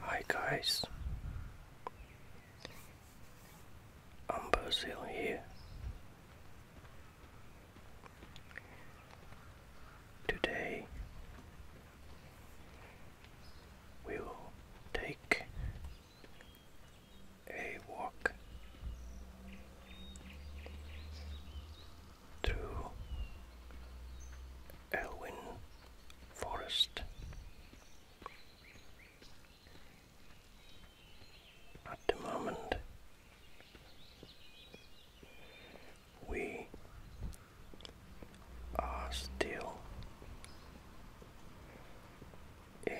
Hi guys, i here. Today we will take a walk through Elwyn Forest. At the moment, we are still in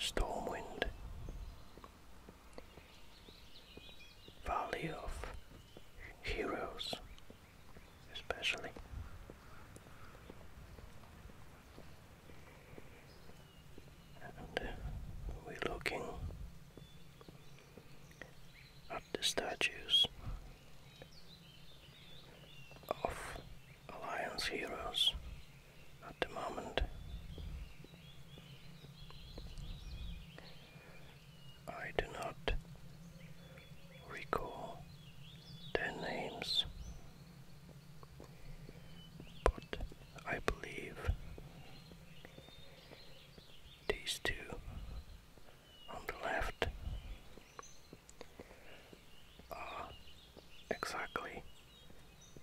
Stormwind, Valley of Heroes, especially. And uh, we're looking at the statues of Alliance heroes at the moment. I do not recall their names, but I believe these two on the left Ah, exactly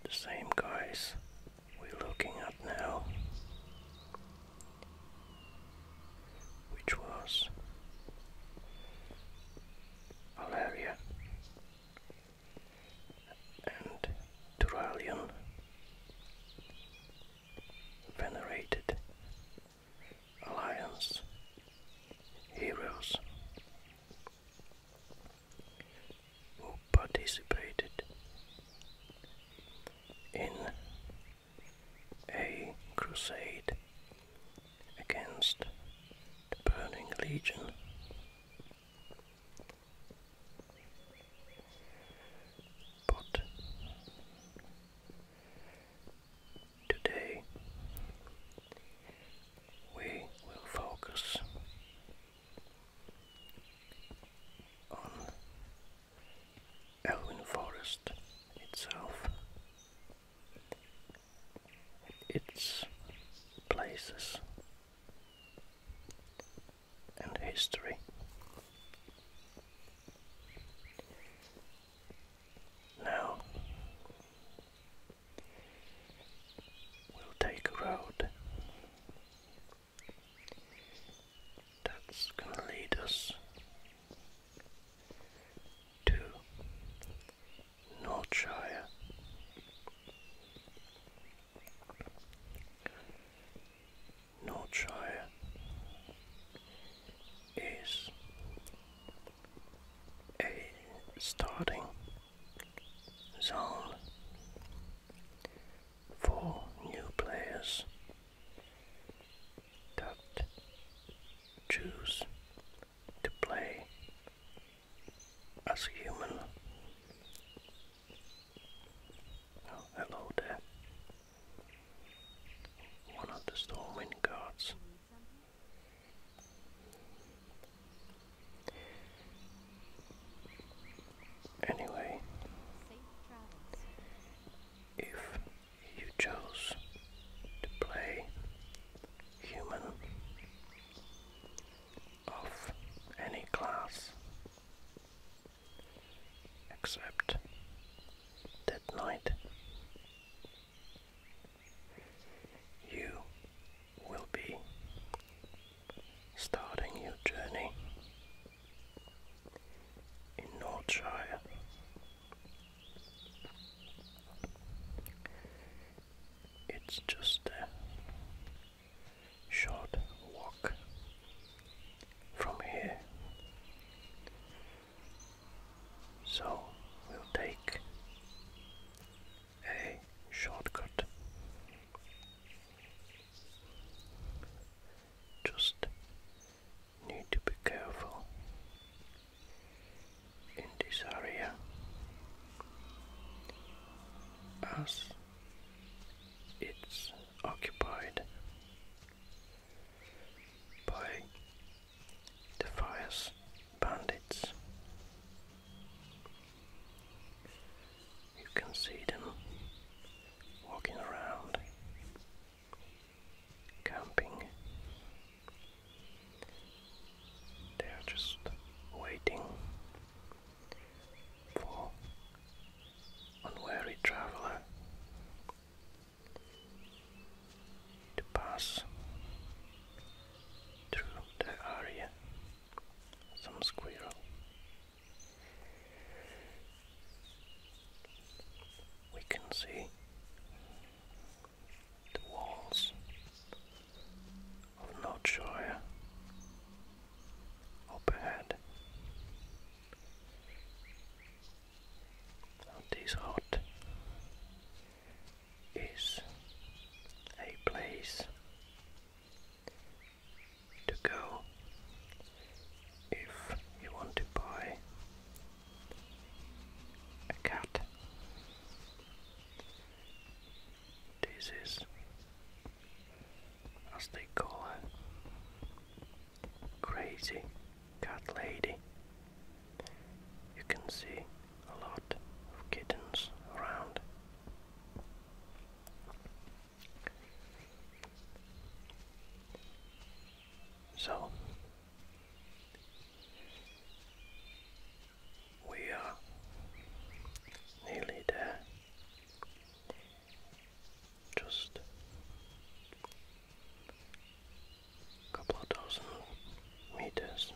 the same guys we're looking at now, which was Valeria and Turalion venerated alliance heroes who participated in a crusade against the Burning Legion. But today we will focus on Elwyn Forest itself, its places and history. Now, We'll take a road that's gonna lead us to Northshire. Northshire is a starting zone for new players that choose to play as a human. Oh, hello there. One of the Stormwind guards Anyway, if you chose to play human of any class except that night, you will be starting your journey in Northshire. It's just a short walk from here. So we'll take a shortcut. Just need to be careful in this area as it's occupied by the fires bandits. You can see them walking around, camping. They are just waiting for unwary traveler to pass through the area some squirrel. We can see the walls of North Shore up ahead. Of hot is a place to go if you want to buy a cat. This is, as they call her, crazy cat lady. You can see a lot of kittens around. So we are nearly there. Just a couple dozen meters.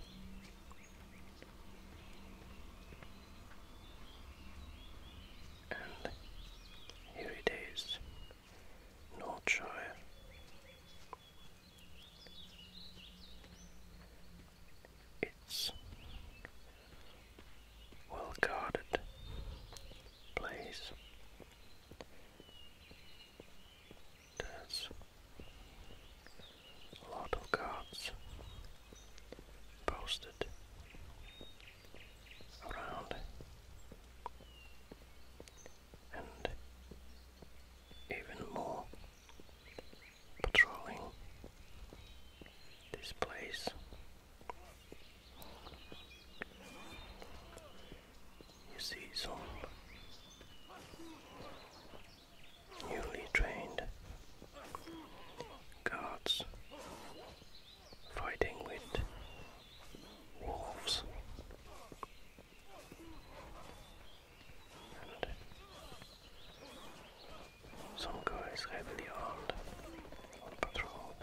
And here it is, Northshire. It's well guarded place. There's a lot of cards posted around, and even more patrolling this place. You see some newly trained guards fighting with wolves. some guys heavily armed on patrol.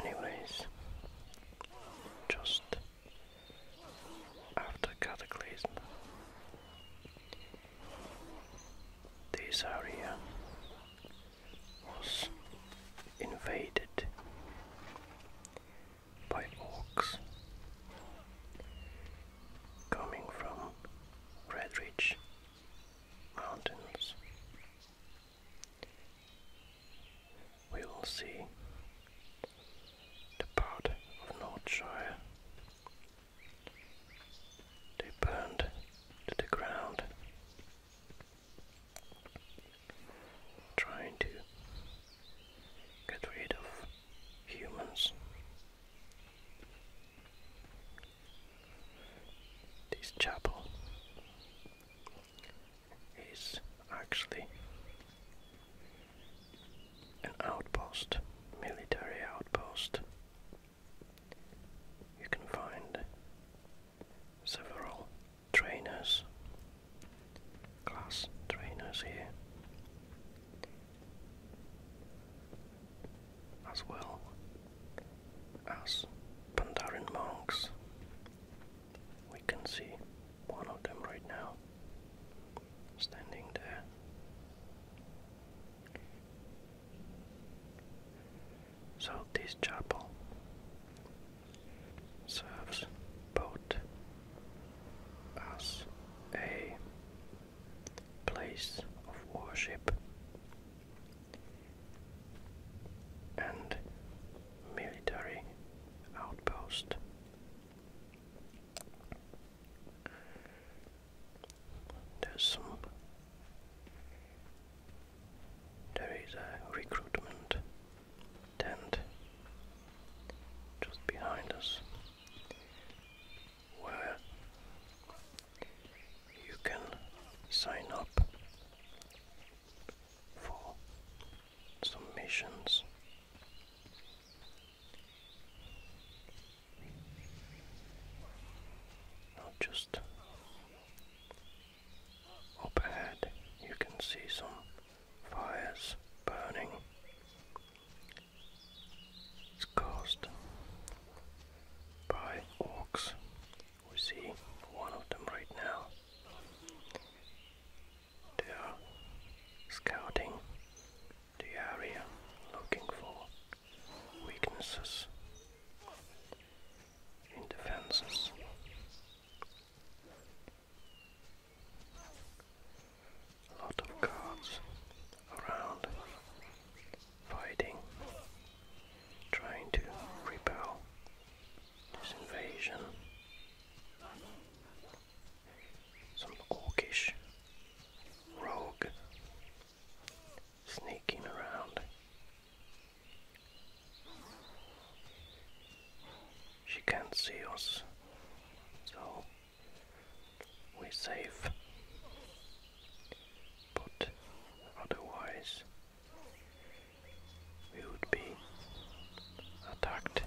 Anyways, just after Cataclysm. This area was invaded by orcs coming from Red Ridge Mountains we will see the part of Northshire they burned to the ground, trying to get rid of humans. This chapel is actually an outpost, military outpost. You can find several trainers, class trainers here, as well as Pandaren monks we can see one of them right now standing there. So this chapel serves both as a place of worship and military outpost there's some. There is a recruitment tent just behind us where you can sign up for some missions. just up ahead, you can see some fires burning. It's caused by orcs. We see one of them right now. They are scouting the area looking for weaknesses in defenses. A lot of guards around fighting, trying to repel this invasion some orcish rogue sneaking around. She can't see us, so we're safe. But otherwise, we would be attacked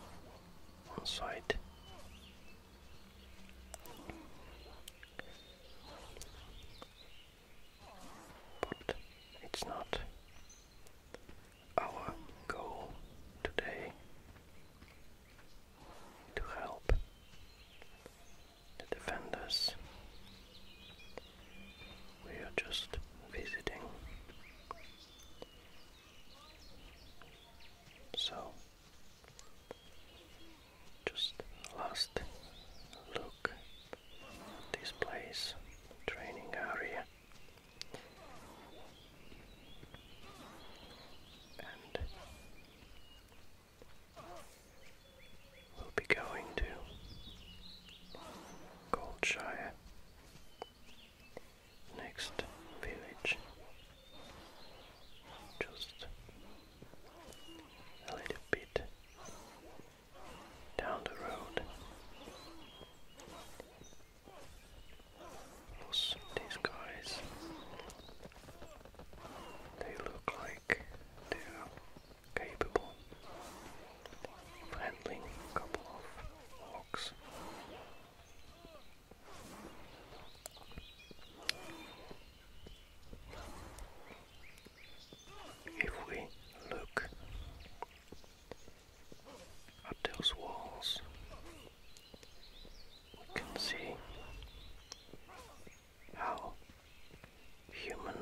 on site. But it's not our goal today to help the defenders. We are just visiting so, just last look this place, training area. And we'll be going to Goldshire next village. Just a little bit down the road was these guys. They look like they are capable of handling a couple of walks if we look at those walls, we can see how human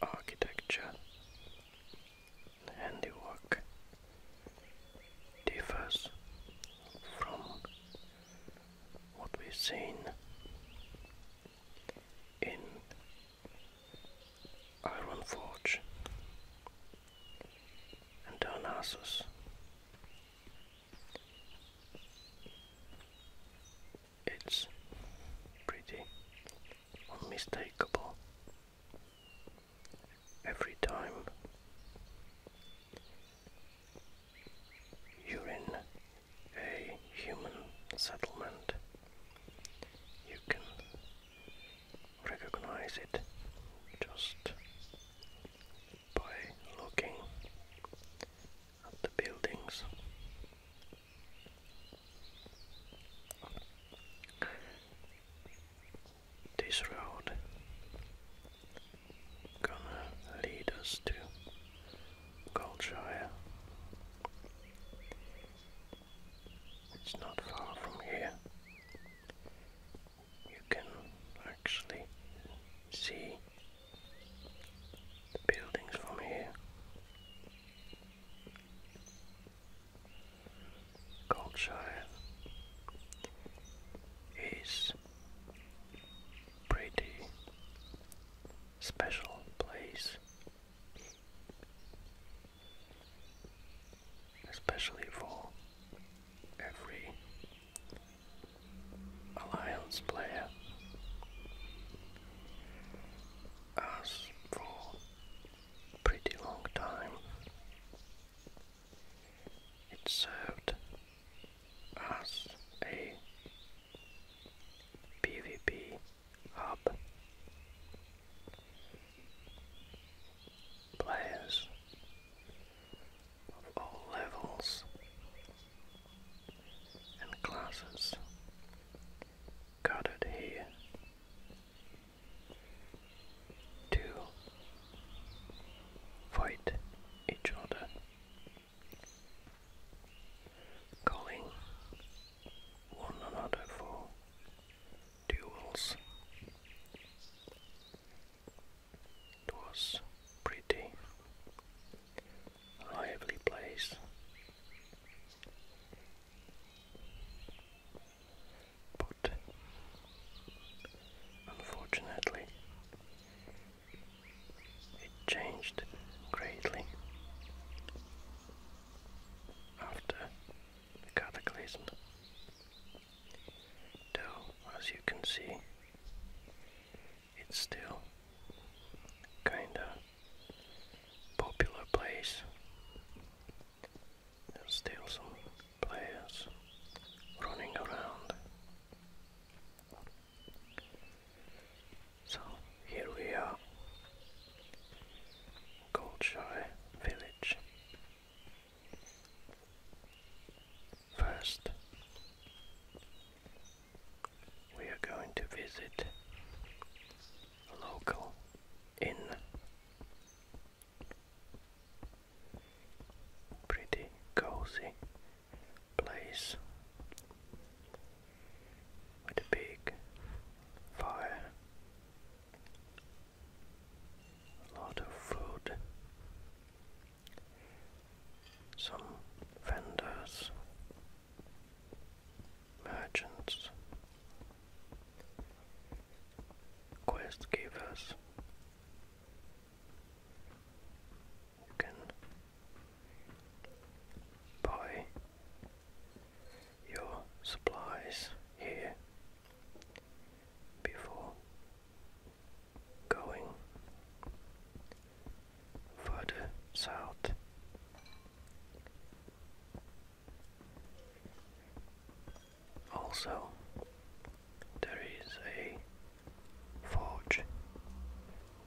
architecture handiwork differs from what we've seen in Iron Forge and Darnassus. It's pretty unmistakable every time you're in a human settlement, you can recognize it just by looking at the buildings this road gonna lead us to Goldshire. It's not far from here. You can actually see the buildings from here culture is pretty special place especially for every alliance player as for pretty long time it served as a PvP hub. Players of all levels and classes gathered here to fight each other, calling one another for duels. It was pretty lively place but unfortunately it changed greatly after the cataclysm. Though, as you can see, it's still kinda popular place there's still some players running around. So here we are, Goldshire Village. First, we are going to visit local inn. Pretty cozy place with a big fire, a lot of food, some vendors, merchants, quest givers can buy your supplies here before going further south. Also, there is a forge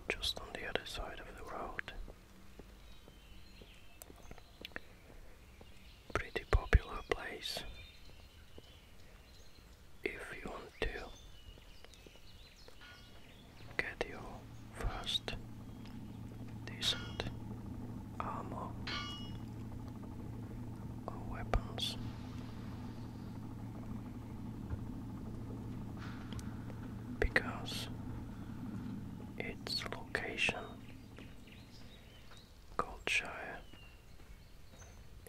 just on the other side of the road. Pretty popular place if you want to get your first decent armor weapons. Because its location, Goldshire,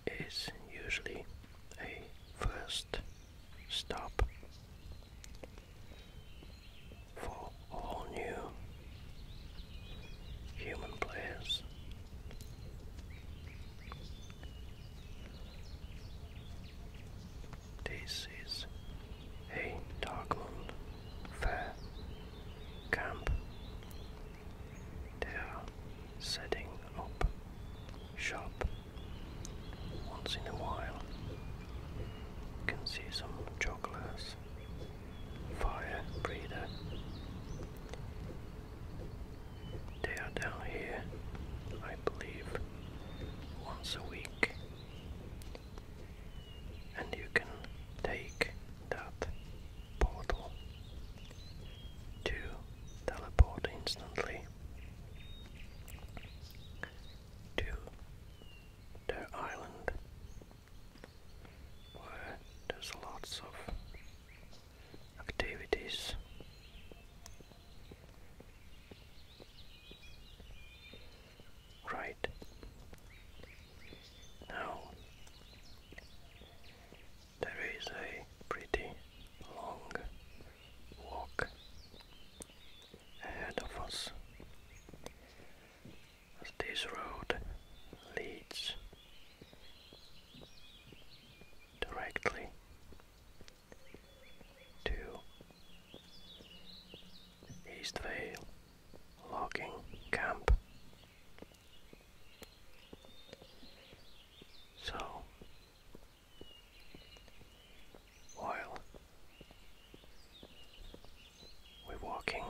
is usually a first stop for all new human players. This is a Darkland fair camp. They are setting up shop once in a while. can see some jugglers fire breather. They are down here, I believe, once a week, and you can take that portal to teleport instantly to their island where there's lots of activities. Right now, there is a pretty long walk ahead of us. As this road leads directly to Eastvale logging camp. So while we're walking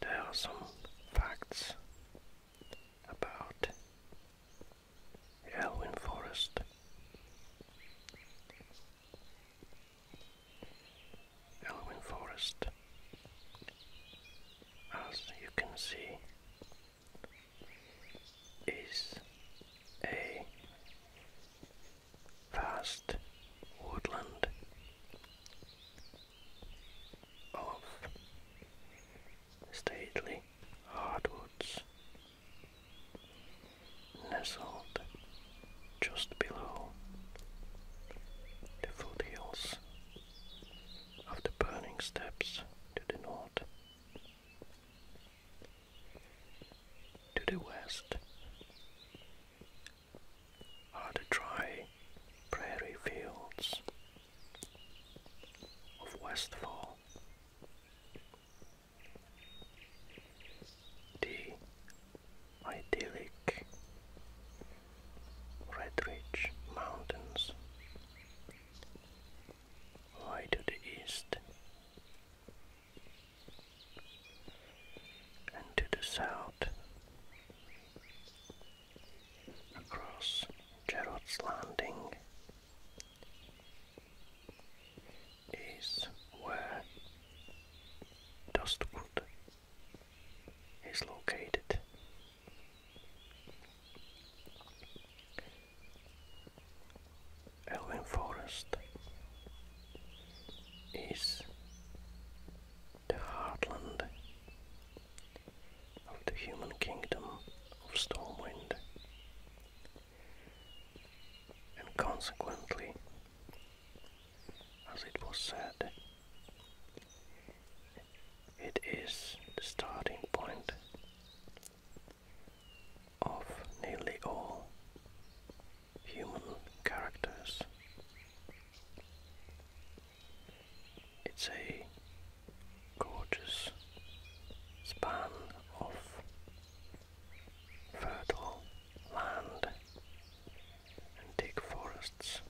there are some facts about Elwyn Forest. Elwyn Forest, as you can see, is a vast woodland of stately hardwoods nestled just below the foothills of the burning steps to the north. To the west are the dry prairie fields of Westfall. The idyllic Red Ridge Mountains lie to the east and to the south out across Gerald's Landing is where Dustwood is located. Elwyn Forest is the heartland of the human kingdom of Stormwind, and consequently, as it was said, it is the starting point of nearly all human characters. It's a gorgeous span of fertile land and thick forests.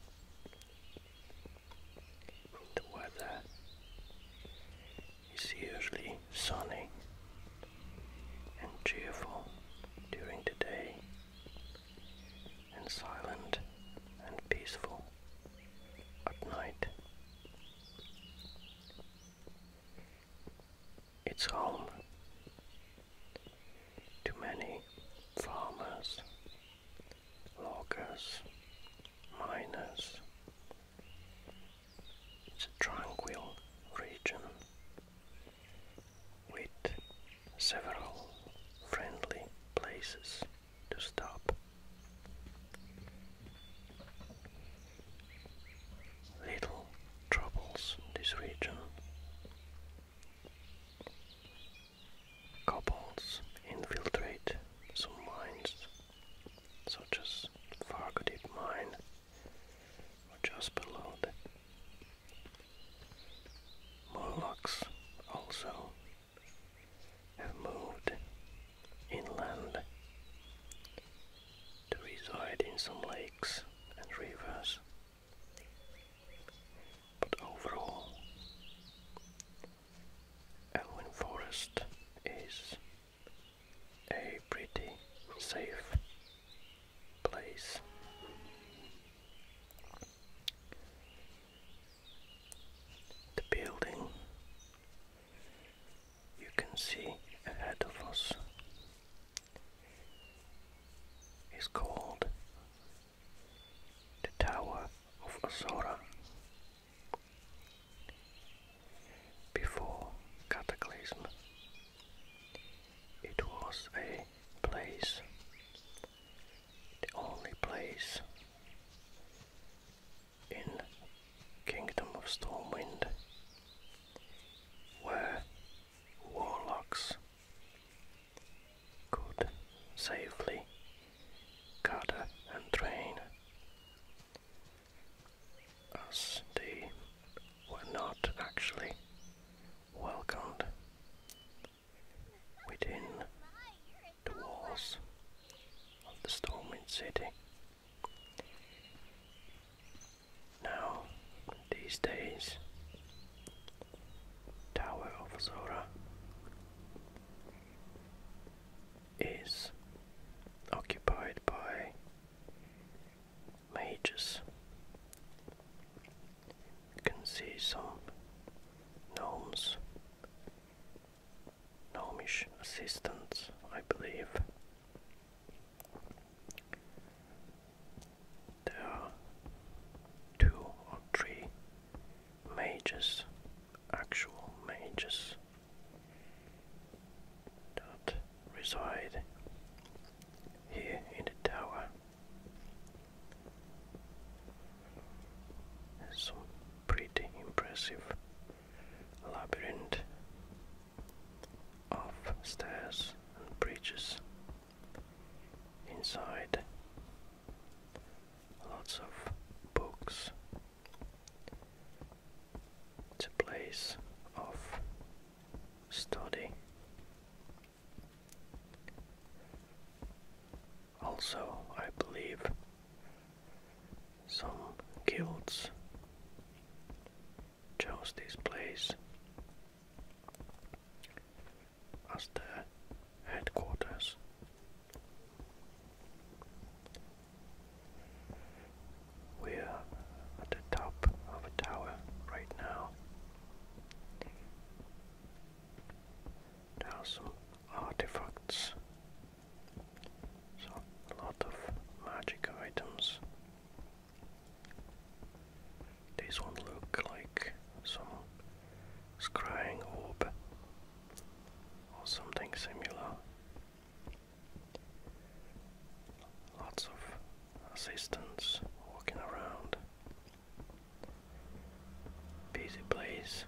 The weather is usually sunny and cheerful during the day and silent and peaceful at night. It's home to many farmers, loggers, miners. It's a tranquil region with several friendly places to stop. Little troubles this region. Couples infiltrate some mines, such as Fargo Mine, just below the Molochs also have moved inland to reside in some lakes and rivers. But overall, Elwyn Forest is a pretty safe place the building you can see ahead of us is called the Tower of Azora. Before Cataclysm, it was a place the only place in Kingdom of Stormwind where warlocks could safely gather and train as they were not actually welcomed within the walls of the Stormwind City. Now, these days, Tower of Zora is occupied by mages can see some gnomes, gnomish assistants, I believe. There are two or three mages, actual mages, that reside here in the tower. Some pretty impressive labyrinth of stairs and bridges inside lots of books it's a place of study also, I believe some guilds chose this place as their headquarters. We are at the top of a tower right now. There are some artifacts. So lot of magic items. These one look like some scrying orb or something similar. Lots of assistants walking around. Busy place.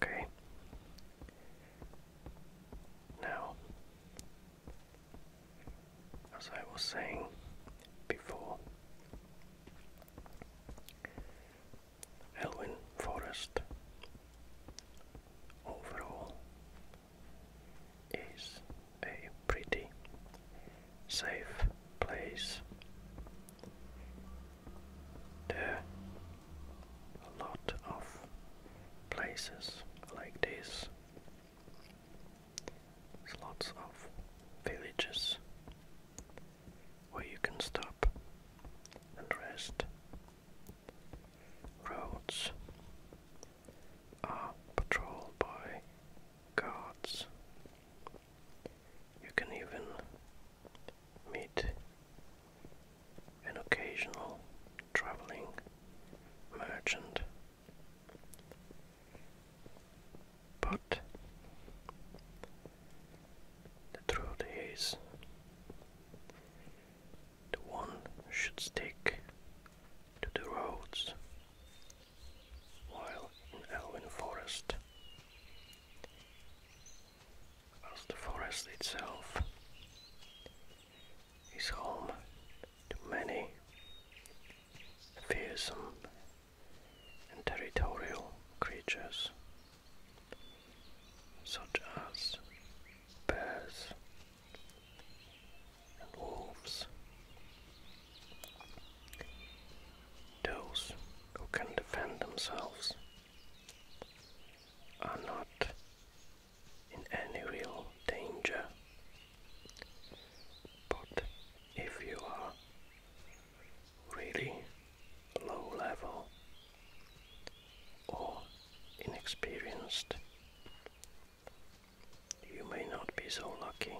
Okay. Now, as I was saying before, Elwyn Forest overall is a pretty safe place. There are a lot of places like this. There's lots of villages where you can stop and rest. Roads are patrolled by guards. You can even meet an occasional traveling merchant. But the truth is, the one should stick to the roads, while in Elwyn Forest, as the forest itself is home to many fearsome and territorial creatures, such as bears, wolves. Those who can defend themselves are not in any real danger. But if you are really low level or inexperienced, you may not be so lucky.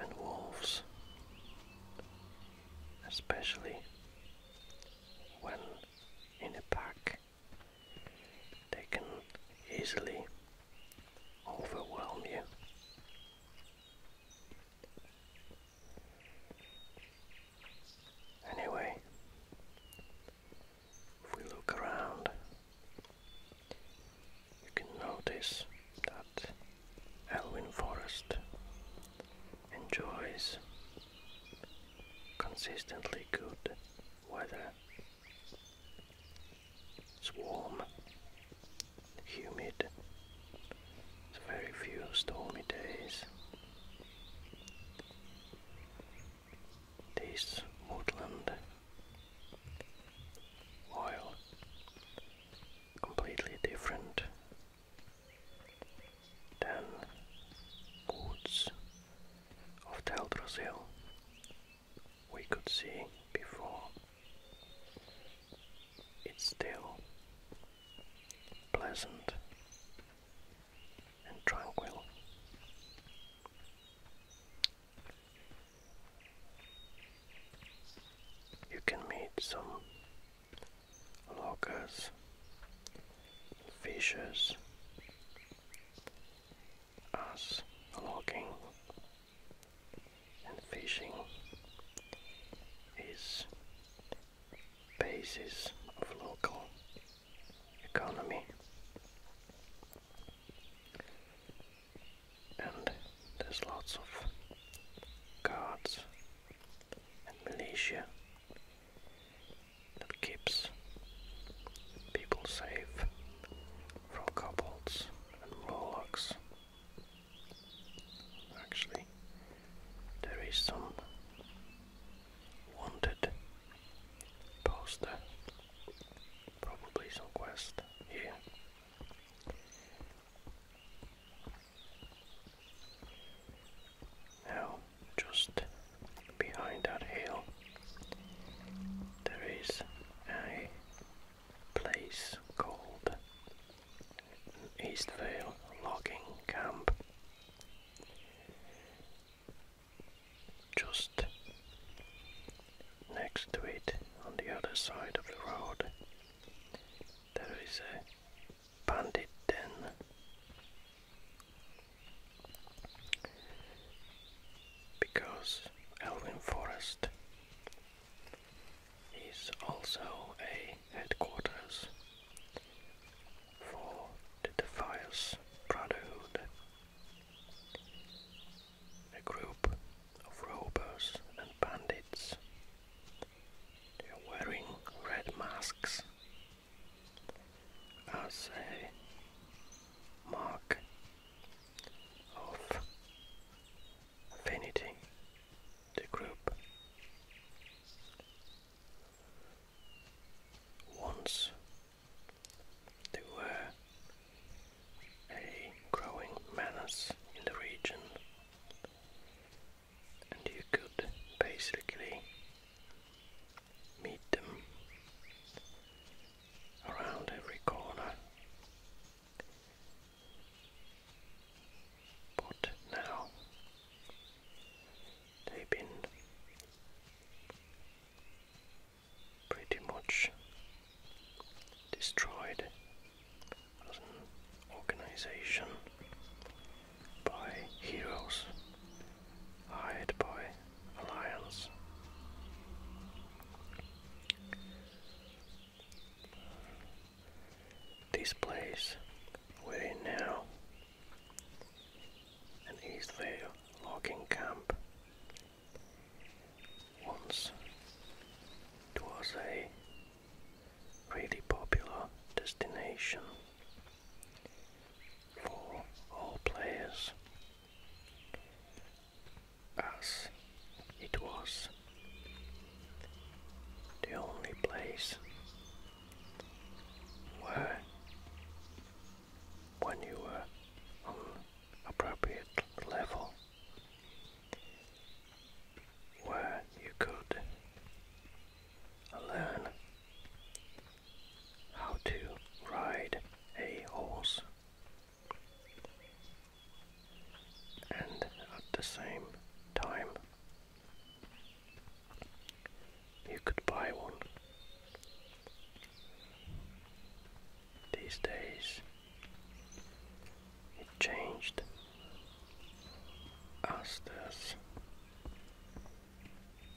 And wolves, especially when in a pack, they can easily overwhelm you. Anyway, if we look around, you can notice that Elwyn Forest enjoys consistently good weather. It's warm, humid, there's very few stormy days. This woodland, oil completely different than woods of Teldrassil we could see before. It's still pleasant and tranquil. You can meet some loggers, fishers, us logging and fishing is basis of local economy. And there's lots of guards and militia that keeps people safe from kobolds and warlocks. Actually, there is some wanted Pasta. Probably some quest here. Now, just behind that hill, there is a place called Eastvale Logging Camp just next to it on the other side of the road there is a bandit den because Elwyn Forest is also a headquarters for the Defias Brotherhood. A group of robbers and bandits. They are wearing red masks as a mark of affinity. The group once there were a growing menace in the region, and you could basically meet them around every corner. But now they've been pretty much destroyed an organization by heroes hired by alliance. This place we're in now an easily logging camp. Once, it was a really popular destination for all players as it was the only place where when you were appropriate level where you could learn how to ride a horse and at the same time you could buy one these days it changed as there's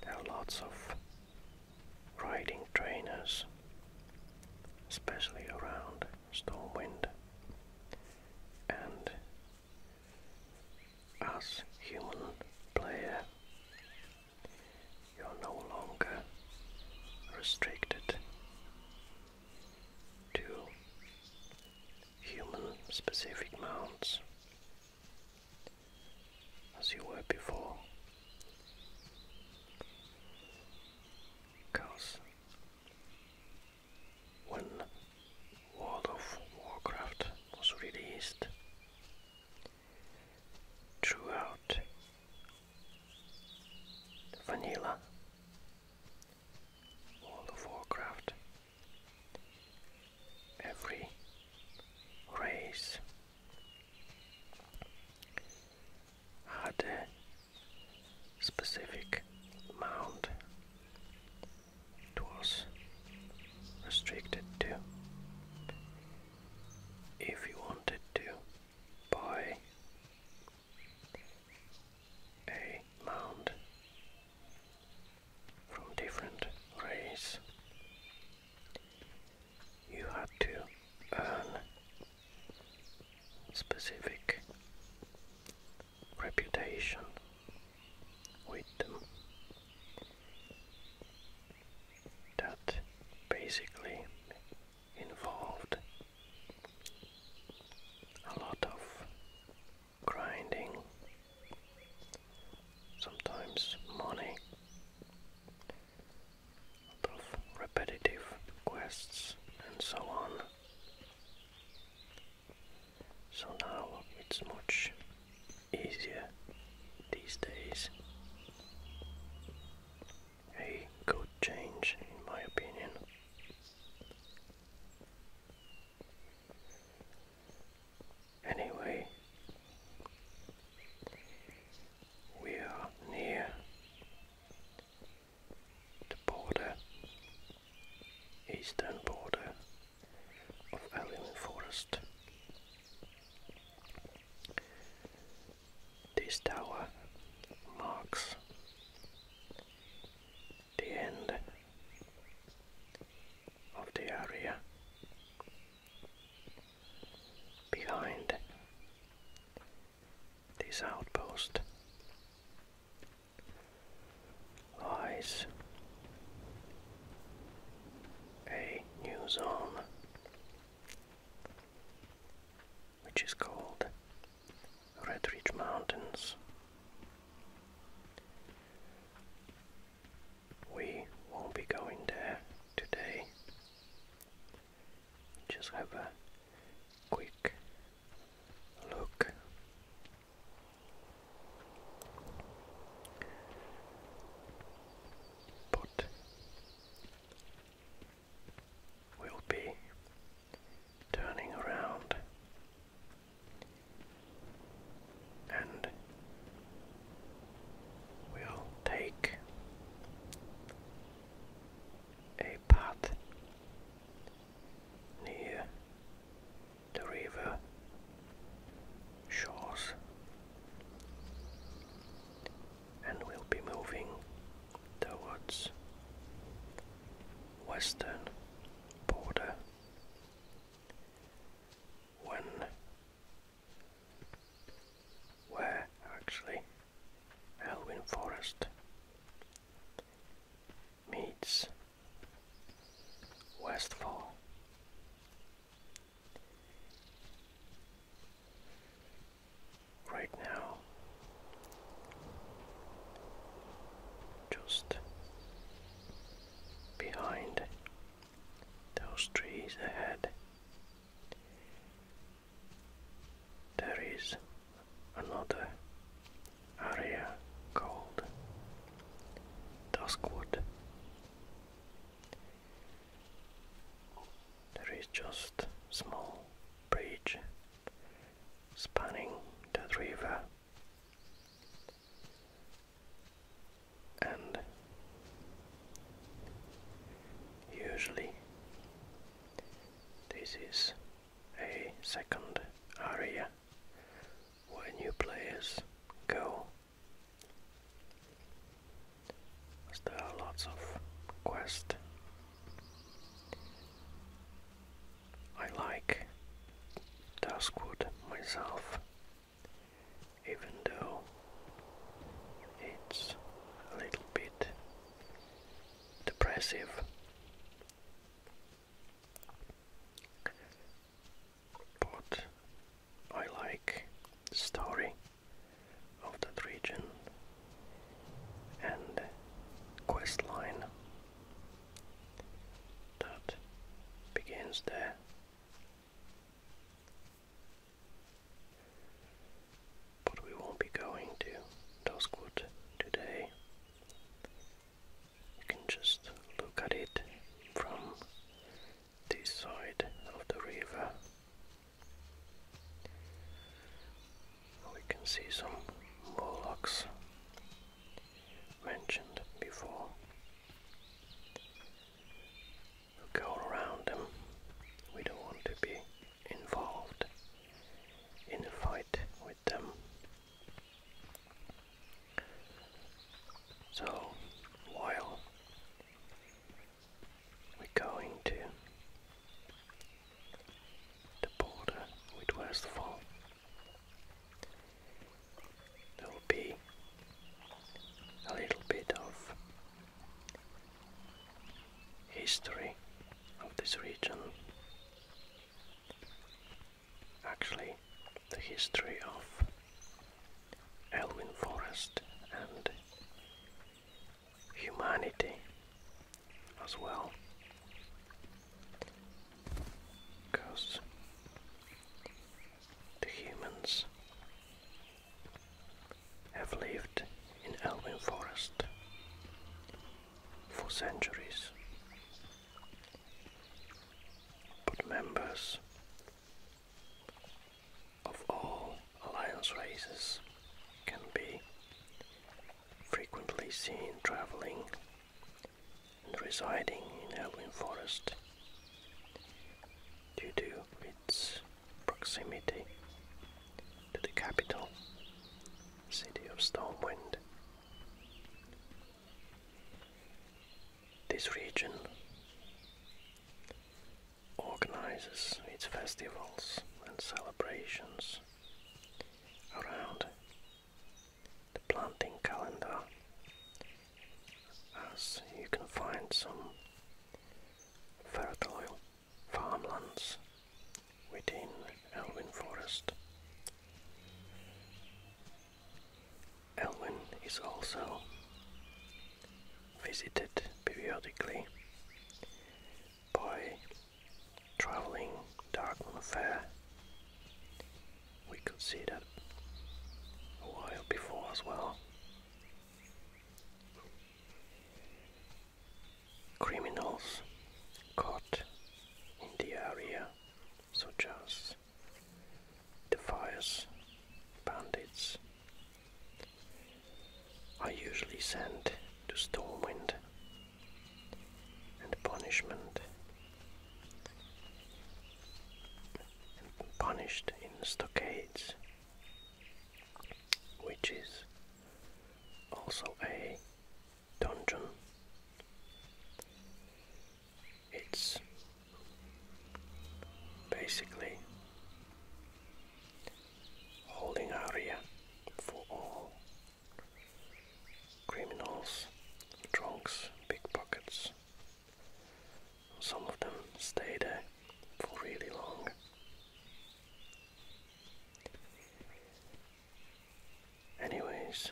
there are lots of riding trainers, especially around Stormwind, and as human players you are no longer restricted to human specific mounts as you were before. Because when World of Warcraft was released, throughout the vanilla World of Warcraft. Every race had a specific mount it was restricted to if you wanted to buy a mound from different race, you had to earn specific reputation with them that basically involved a lot of grinding, sometimes money, a lot of repetitive quests and so on. So now it's much easier these days a good change, in my opinion. Anyway, we are near the border, eastern border of Alien Forest. This tower marks the end of the area behind this outpost lies a new zone which is called Red Ridge Mountains. We won't be going there today. Just have a quick look. But will be turning around and will take a path near the river shores and we will be moving towards western border when where actually Elwyn Forest meets Westfall right now. Just behind those trees ahead, there is another area called Duskwood. There is just small bridge spanning the river and usually this is a second area where new players go there are lots of quests. I like Duskwood myself, even though it's a little bit depressive. But I like the story of that region and quest line that begins there. But we won't be going to Duskwood today. You can just look at it from this side of the river we can see some warlocks mentioned before. we go around them. We don't want to be involved in a fight with them. So while we're going to the border the fall. There will be a little bit of history of this region. Actually, the history of Elwyn Forest and humanity as well. Because the humans have lived in Elwyn Forest for centuries, but members of all Alliance races can be frequently seen traveling and residing in Elwyn Forest due to its proximity to the capital, City of Stormwind. This region organizes its festivals and celebrations around the planting calendar as you can find some fertile farmlands within Elwyn Forest. Elwyn is also visited periodically by travelling Dartmouth Fair. We could see that a while before as well. Criminals caught in the area, such as the fires, bandits, are usually sent to Stormwind and punishment and punished in stockades which is also a dungeon it's basically holding area for all criminals, drunks, pickpockets. Some of them stay there for really long. Anyways,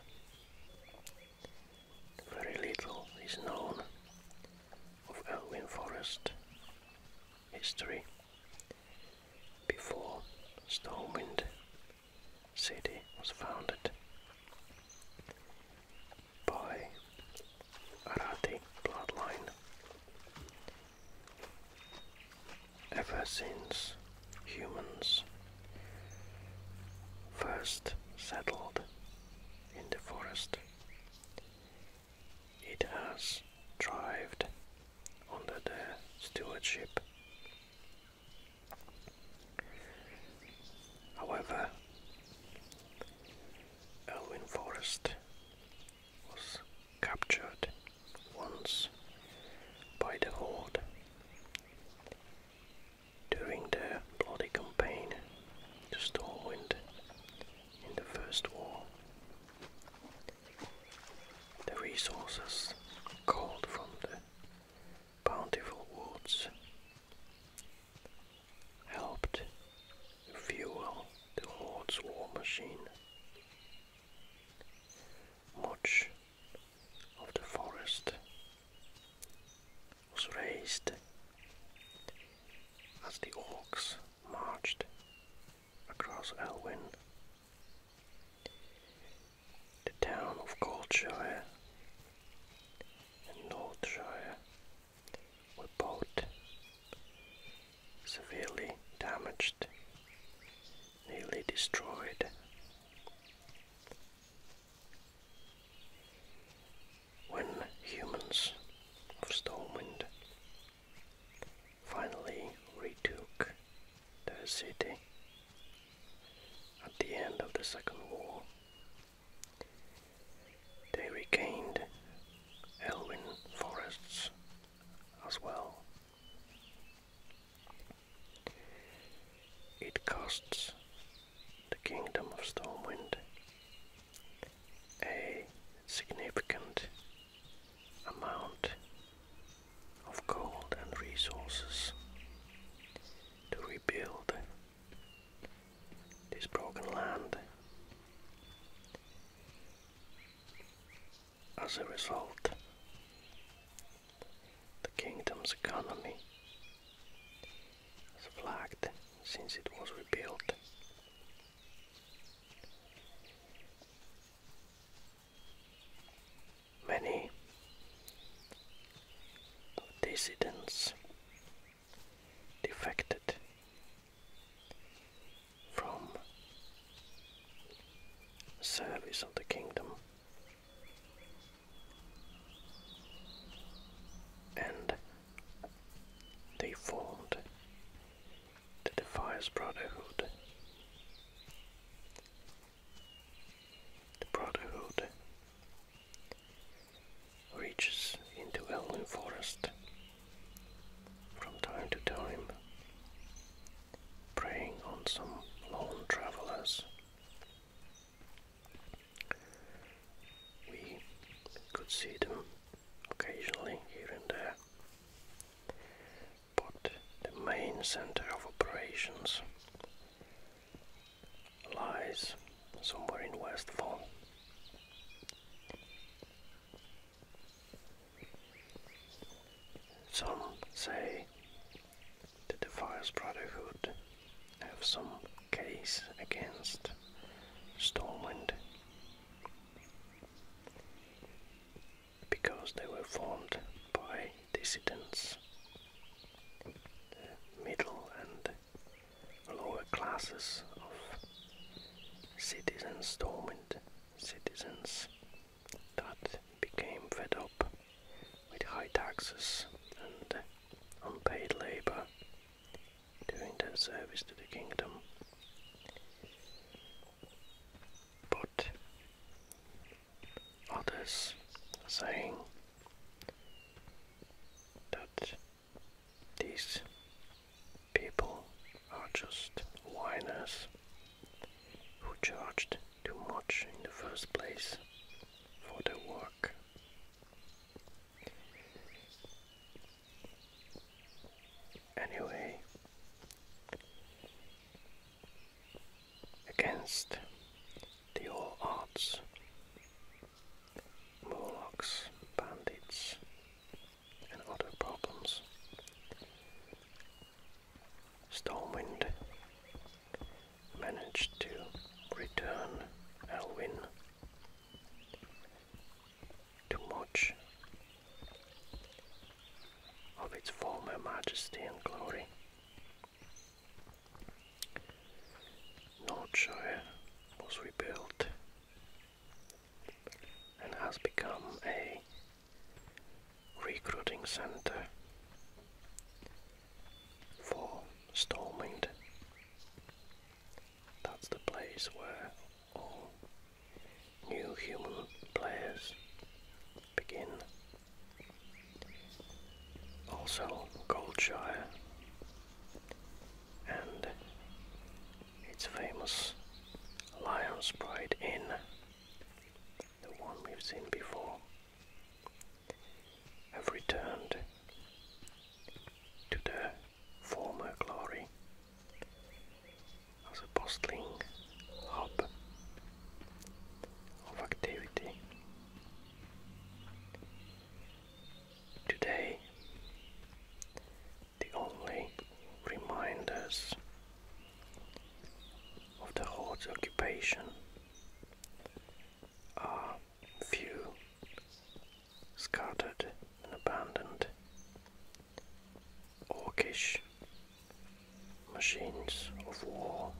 very little is known of Elwyn Forest history before Stormwind City was founded by Arati bloodline. Ever since humans first settled in the forest, it has thrived under the stewardship. However, Elwyn Forest was captured once by the Horde during the bloody campaign to Stormwind in the First War. The resources called from the bountiful woods helped fuel the Horde's war machine. Much of the forest was raised as the orcs marched across Elwyn. The town of Goldshire and Northshire were both severely damaged, nearly destroyed. When humans of Stormwind finally retook the city at the end of the Second War. They regained Elwyn forests as well. It costs the Kingdom of Stormwind a significant amount of gold and resources to rebuild this broken land. As a result, the kingdom's economy has flagged since it was rebuilt many dissidents defected from service of the kingdom and they formed the defies brotherhood. The brotherhood reaches into Elven Forest from time to time, preying on some lone travelers. We could see them occasionally here and there, but the main center of operations lies somewhere in Westfall. Some say that the Defiers Brotherhood have some case against Stormwind because they were formed by dissidents, the middle and lower classes of citizens, dormant citizens that became fed up with high taxes and unpaid labor during their service to the kingdom but others are saying that these people are just whiners who charged too much in the first place for their work anyway against the old odds Morlocks, bandits, and other problems. Stormwind managed to return Elwin too much of its former majesty and glory. Northshire was rebuilt and has become a recruiting centre for storming. That's the place where new human players begin. Also, Goldshire and its famous Lion's Pride Inn, the one we've seen before, have returned to their former glory as a bustling hub of activity. Today, the only reminders of the horde's occupation are few, scattered and abandoned orcish machines of war,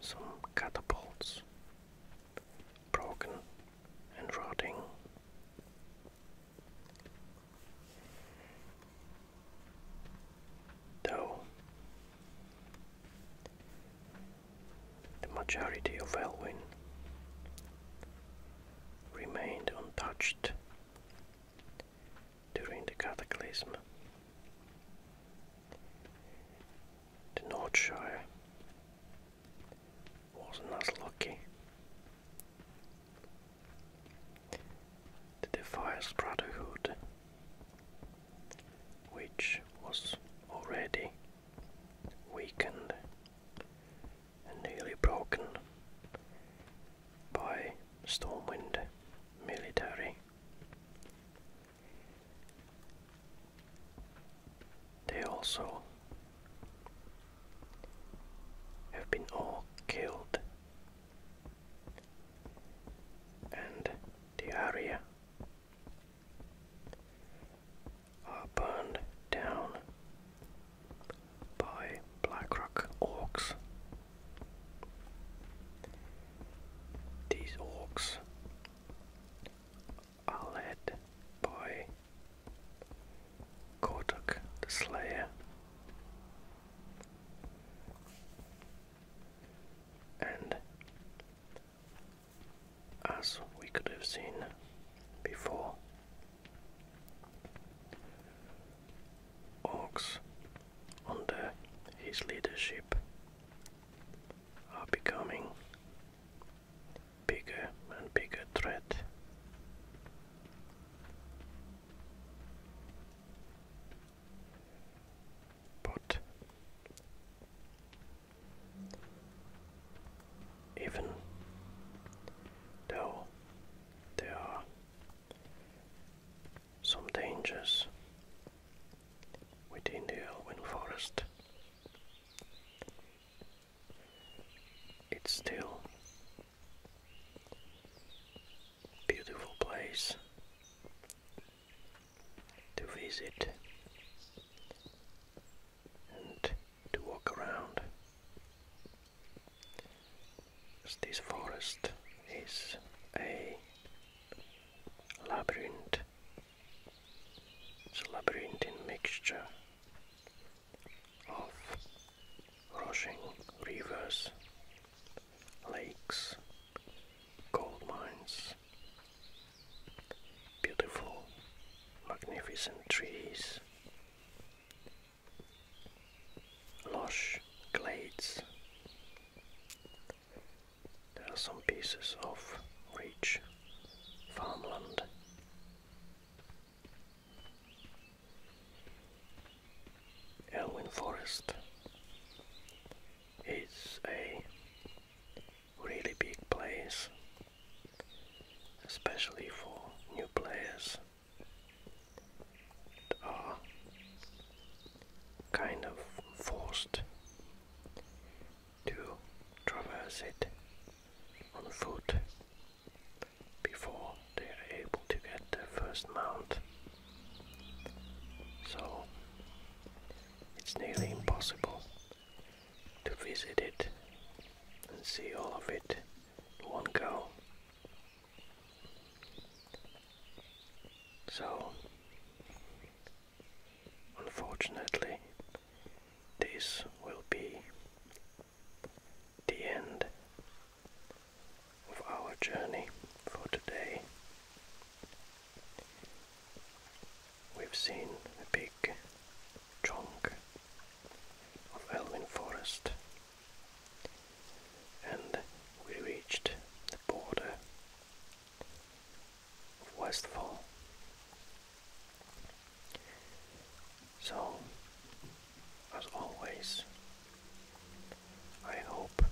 some catapults, broken and rotting. Though the majority of Elwyn remained untouched during the cataclysm. The Northshire wasn't as lucky. The Defiance Brotherhood, which was already weakened and nearly broken by Stormwind military. They also have been all killed, and the area are burned down by Blackrock Orcs. These orcs are led by Kortok the Slayer. And as we could have seen before, Orcs, under his leadership, are becoming bigger and bigger threat. But even though there are some dangers within the Elwyn Forest. It's still a beautiful place to visit and to walk around. This forest is a labyrinth. a labyrinthine mixture of rushing rivers, lakes, gold mines, beautiful, magnificent trees, lush glades. There are some pieces of rich farmland. Elwyn Forest is a really big place, especially for new players are kind of forced to traverse it on foot before they are able to get their first mount. So it's nearly impossible to visit it and see all of it in one go. So, unfortunately, this will be the end of our journey for today. We've seen a big chunk of Elwyn Forest and we reached the border of Westfall. So, as always, I hope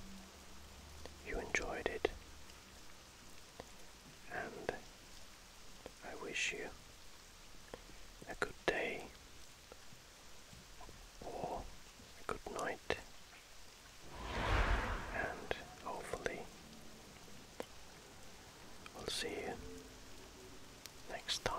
you enjoyed it, and I wish you a good day or good night, and hopefully, we'll see you next time.